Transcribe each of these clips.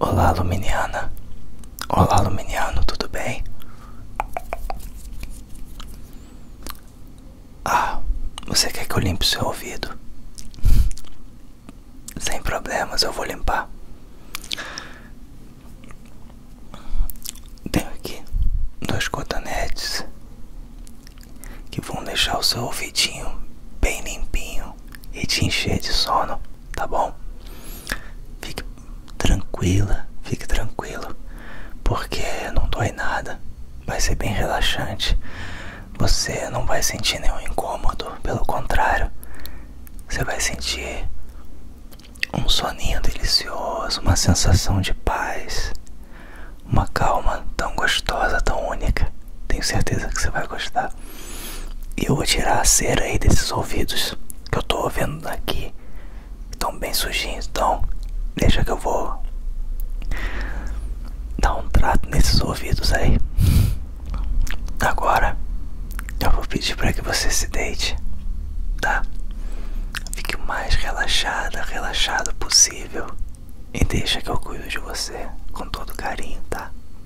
Olá, Luminiana. Olá, Luminiano, tudo bem? Ah, você quer que eu limpe seu ouvido? Sem problemas, eu vou limpar. Tenho aqui dois cotonetes que vão deixar o seu ouvidinho bem limpinho e te encher de sono tá bom? Fique tranquila, fique tranquilo, porque não dói nada, vai ser bem relaxante. Você não vai sentir nenhum incômodo, pelo contrário, você vai sentir um soninho delicioso, uma sensação de paz, uma calma tão gostosa, tão única. Tenho certeza que você vai gostar. E eu vou tirar a cera aí desses ouvidos que eu tô vendo aqui. Estão bem sujinhos, então deixa que eu vou dar um trato nesses ouvidos aí. Agora eu vou pedir para que você se deite, tá? Fique o mais relaxada, relaxado possível. E deixa que eu cuide de você com todo carinho, tá?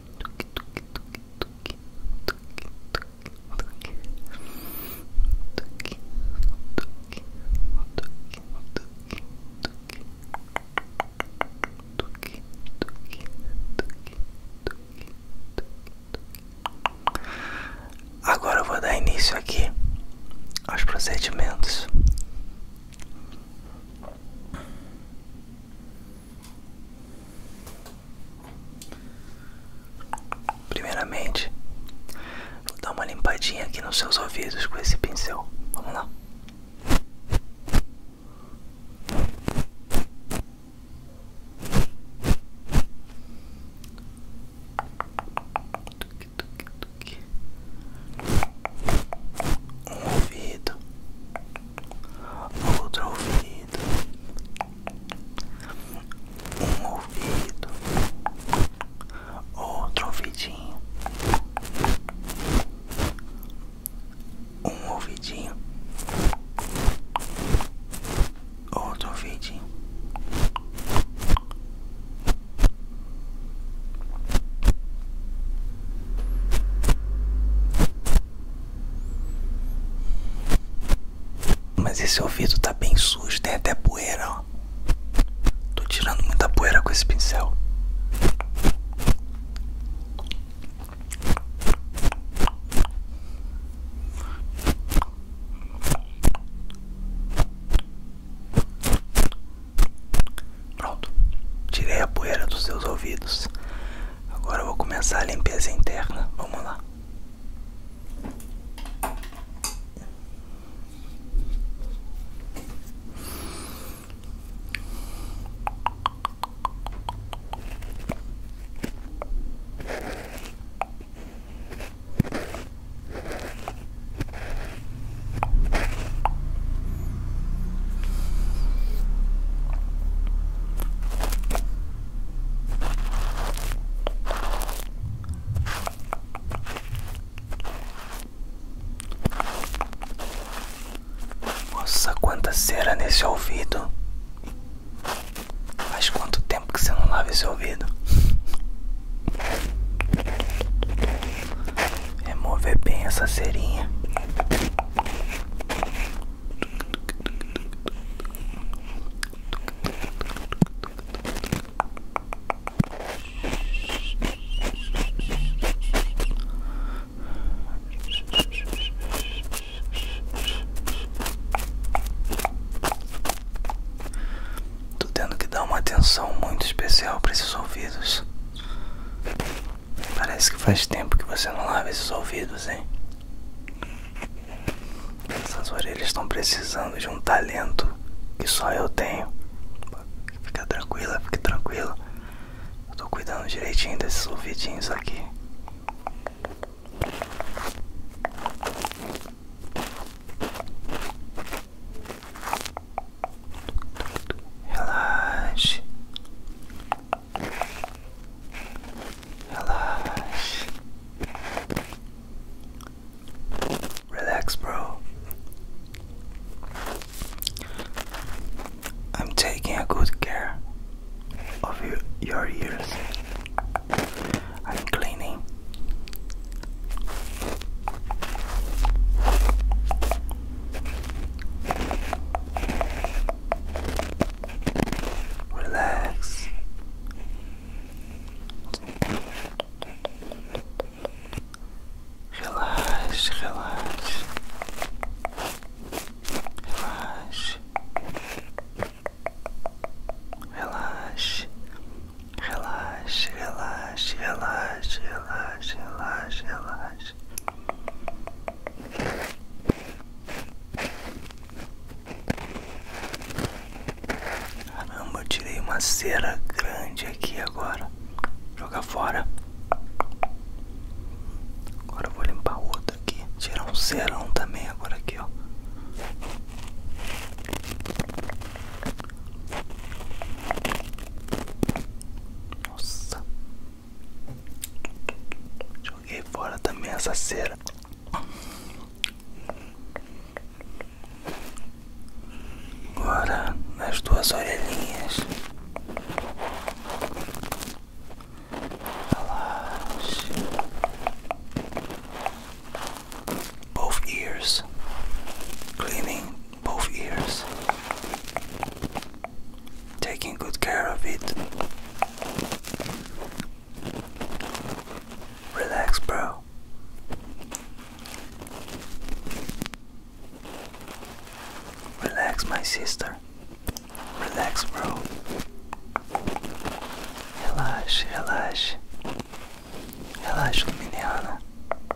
tuque, tuque, tuque, tuque, tuque, tuque, tuque, tuque, tuque, tuque, tuque. Tuque, tuque, tuque, tuque, tuque. Agora eu vou dar início aqui aos procedimentos. Primeiramente, vou dar uma limpadinha aqui nos seus ouvidos com esse pincel. Vamos lá. Um ouvido, outro ouvido, um ouvido, outro ouvidinho, um ouvidinho, outro ouvidinho. Mas esse ouvido tá bem sujo, tem até poeira, ó. Tô tirando muita poeira com esse pincel. Pronto, tirei a poeira dos seus ouvidos. Agora vou começar a limpeza interna. Vamos lá. Nossa, quanta cera nesse ouvido. Faz quanto tempo que você não lava esse ouvido? Remover bem essa cerinha. Tô tendo que dar uma atenção muito especial para esses ouvidos. Parece que faz tempo que você não lava esses ouvidos, hein? Essas orelhas estão precisando de um talento que só eu tenho. Fica tranquila, fique tranquila. Eu tô cuidando direitinho desses ouvidinhos aqui. Relaxe, Relax. Relax, bro. I'm taking a good care of your, your ears. I'm cleaning. Relax. Relaxe, relaxe. Relaxe. Relaxe. Relaxe, relaxe, relaxe, relaxe, relaxe, relaxa. Caramba, eu tirei uma cera grande aqui agora. Joga fora. Agora eu vou limpar outra aqui. Tirar um cerão também agora aqui, ó. Nossa, Joguei fora também essa cera. Agora nas duas orelhinhas. Relaxe. Both ears. Cleaning both ears, taking good care of it. Relax, bro. Relax, my sister. Relax, bro. Relaxa, relaxa. Relaxa, menina.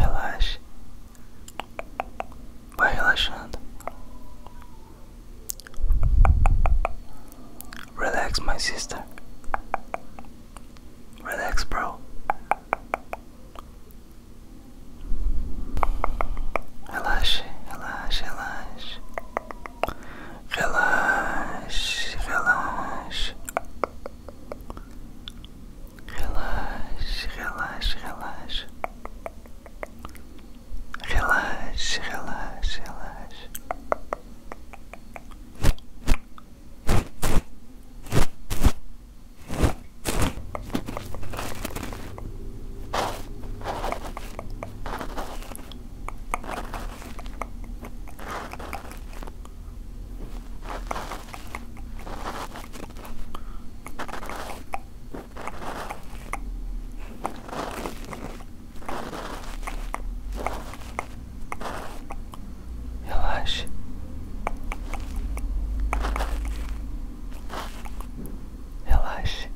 Relaxe, Vai relaxando. Relax, my sister. Relax, bro. Relaxe, relaxe, relaxe. Relaxe, relaxe. Relaxe, relaxe, relaxe. Relaxe, relaxe, relaxe. Relaxe. Relaxe.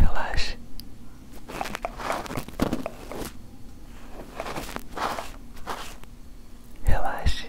Relaxe. Relaxe.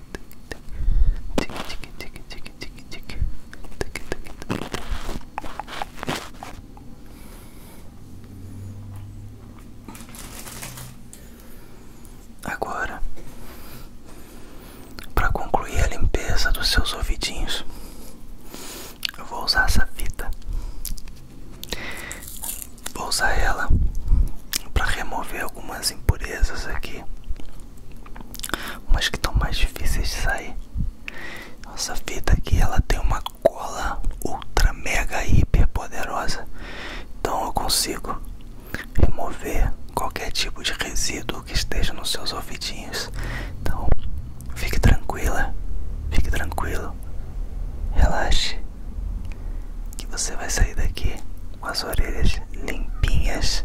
Agora, para concluir a limpeza dos seus ouvidinhos, eu vou usar essa fita. Vou usar ela para remover algumas impurezas aqui, umas que estão mais difíceis de sair. Nossa fita aqui ela tem uma cola ultra mega hiper poderosa, então eu consigo remover qualquer tipo de resíduo que esteja nos seus ouvidinhos. Então fique tranquila, fique tranquilo, relaxe que você vai sair daqui com as orelhas limpinhas.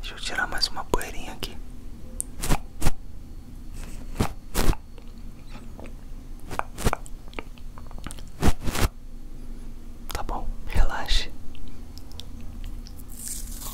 Deixa eu tirar mais uma poeirinha aqui. Tá bom, relaxe.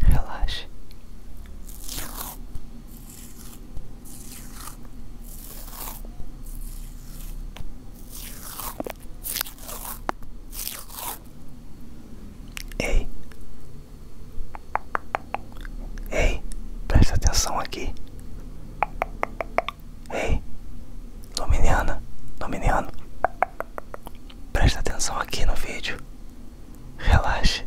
Relaxe. Ei, ei, presta atenção aqui. Ei, Luminiana, dominiano. presta atenção aqui no vídeo. Relaxe.